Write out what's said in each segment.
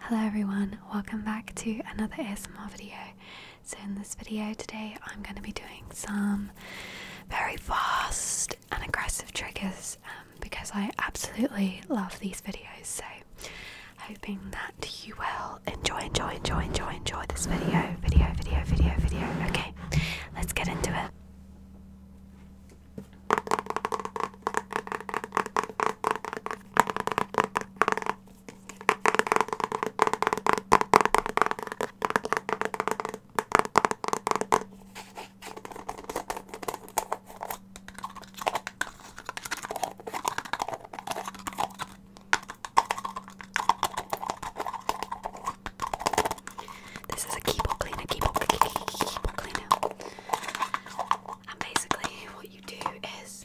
Hello everyone, welcome back to another ASMR video. So in this video today I'm going to be doing some very fast and aggressive triggers um, because I absolutely love these videos so hoping that you will enjoy, enjoy, enjoy, enjoy, enjoy this video, video, video, video, video. Okay, let's get into it. This is a keyboard cleaner, keyboard, keyboard cleaner. And basically, what you do is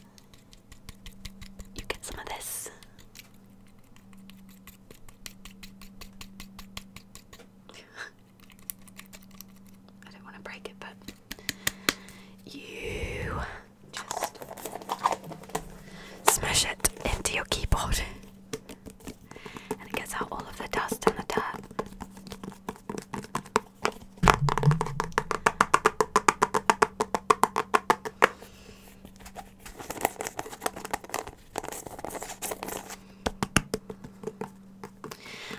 you get some of this. I don't want to break it, but you just smash it into your keyboard and it gets out all of the dust and the dirt.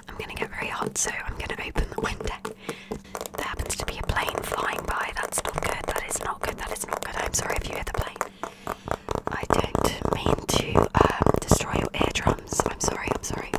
I'm gonna get very hot, so I'm gonna open the window. There happens to be a plane flying by. That's not good. That is not good. That is not good. I'm sorry if you hear the plane. I don't mean to um, destroy your eardrums. I'm sorry. I'm sorry.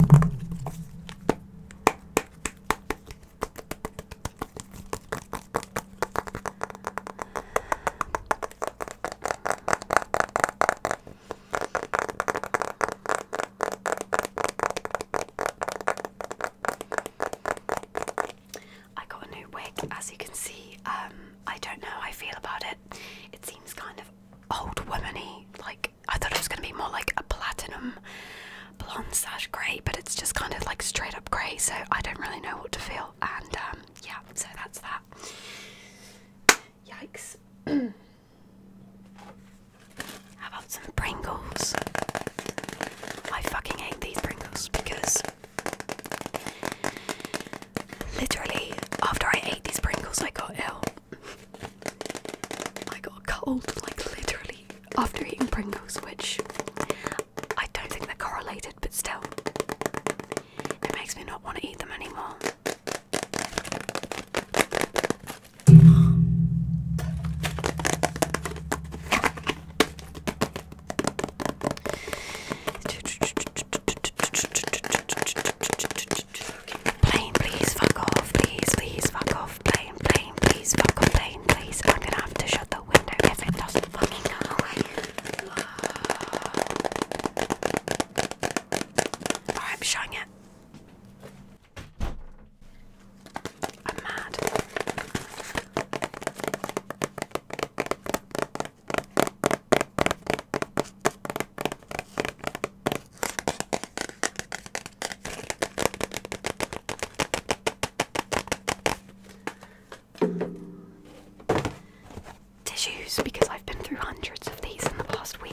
I got a new wig, as you can see. Um, I don't know how I feel about it. It seems kind of old womany, like I thought it was gonna be more like a platinum blonde slash grey, but it's just kind of like straight up grey, so I don't really know what to feel. And um, yeah, so that's that. Yikes. How about some Pringles? I fucking hate these Pringles because literally after I ate these Pringles, I got ill. I got a cold, like literally, after eating Pringles, which I don't think they're correlated, but still, it makes me not want to eat them anymore. Plane, please fuck off. Please, please fuck off. Plane, plane, please fuck off. Plane, please. I'm gonna have to shut the window if it doesn't fucking go Oh, I'm shutting it. I'm mad. Tissues, because I've been through hundreds of these in the past week.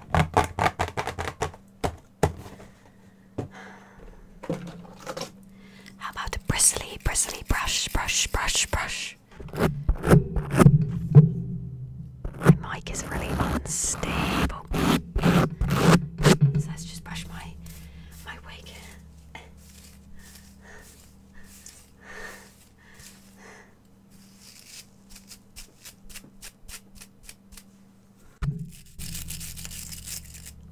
How about the bristly, bristly brush, brush, brush, brush? My mic is really unstable. So let's just brush my my wig.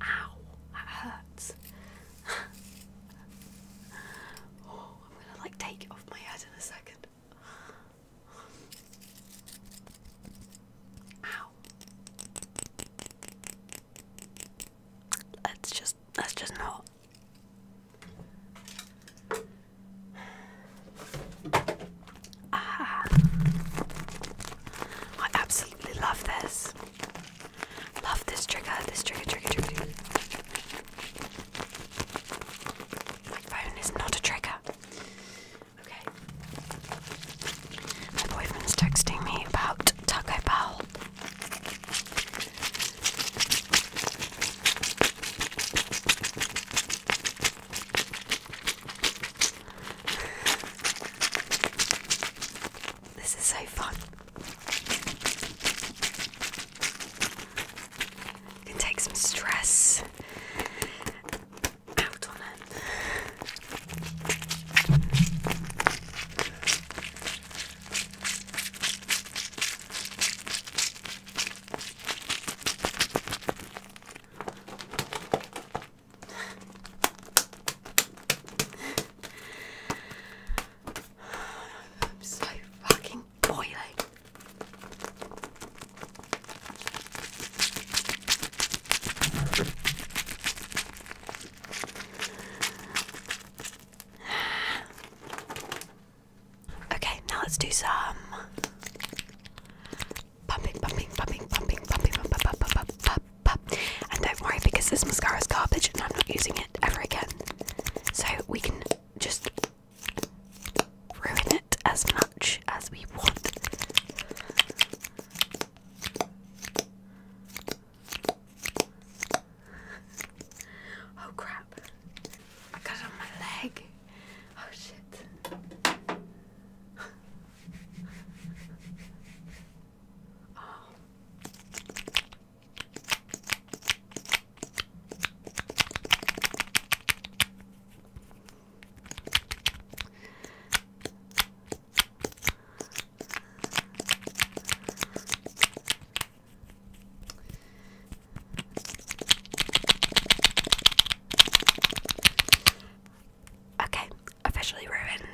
Ow, that hurts. oh, I'm gonna like take it off my head in a second. Ow. let just let just not Ah, I absolutely love this. Love this trigger, this trigger, trigger, trigger. My phone is not a trigger. Okay. My boyfriend's texting me about Taco Bell. This is so fun. can take some stress out on it. I'm so fucking boiling. Okay, now let's do some pumping, pumping, pumping, pumping, pumping, pump, pump, pump, pump, pump, pump. And don't worry because this mascara is garbage and I'm not using it ever again. So we can just ruin it as much as we want. Oh crap. I got it on my leg. Oh shit. oh. Okay, officially ruined.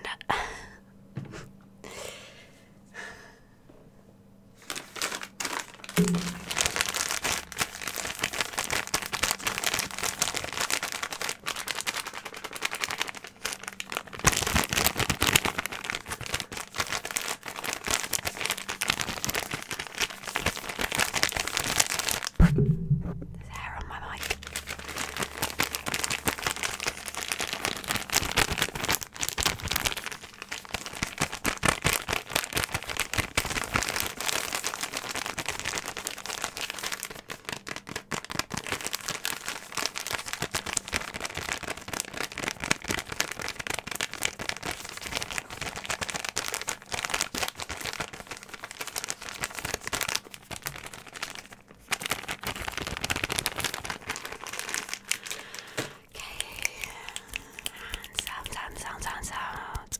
There's hair on my mic sound, sound, sound, sound, sound.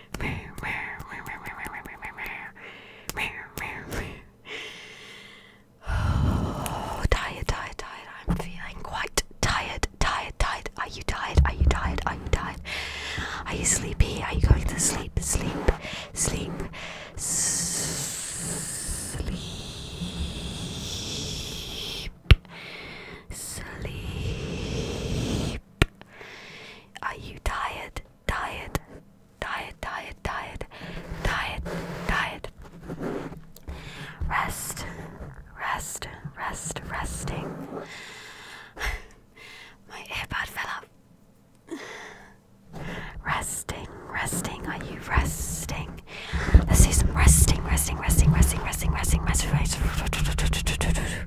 Oh, tired, tired, tired. I'm feeling quite tired, tired, tired. Are you tired? Are you tired? Are you tired? Are you sleepy? Are you going to sleep? Sleep, sleep, sleep, sleep. Are you tired? Tired? Tired, tired, tired, tired, tired. Rest, rest, rest, resting. My earbud fell off. Resting, resting, are you resting? Let's do some resting, resting, resting, resting, resting, resting, resting, resting.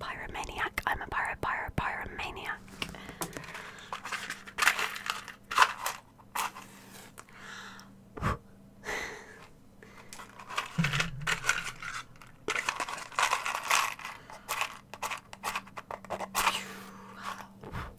Pyromaniac. I'm a pyro pyro pyromaniac.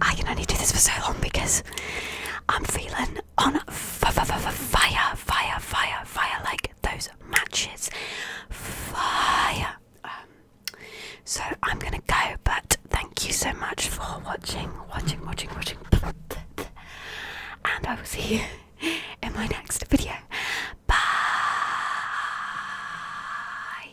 I can only do this for so long because I'm feeling on fire, fire, fire, fire, like those matches. Fire. Um, so I'm gonna go, but thank you so much for watching, watching, watching, watching, and I will see you in my next video. Bye.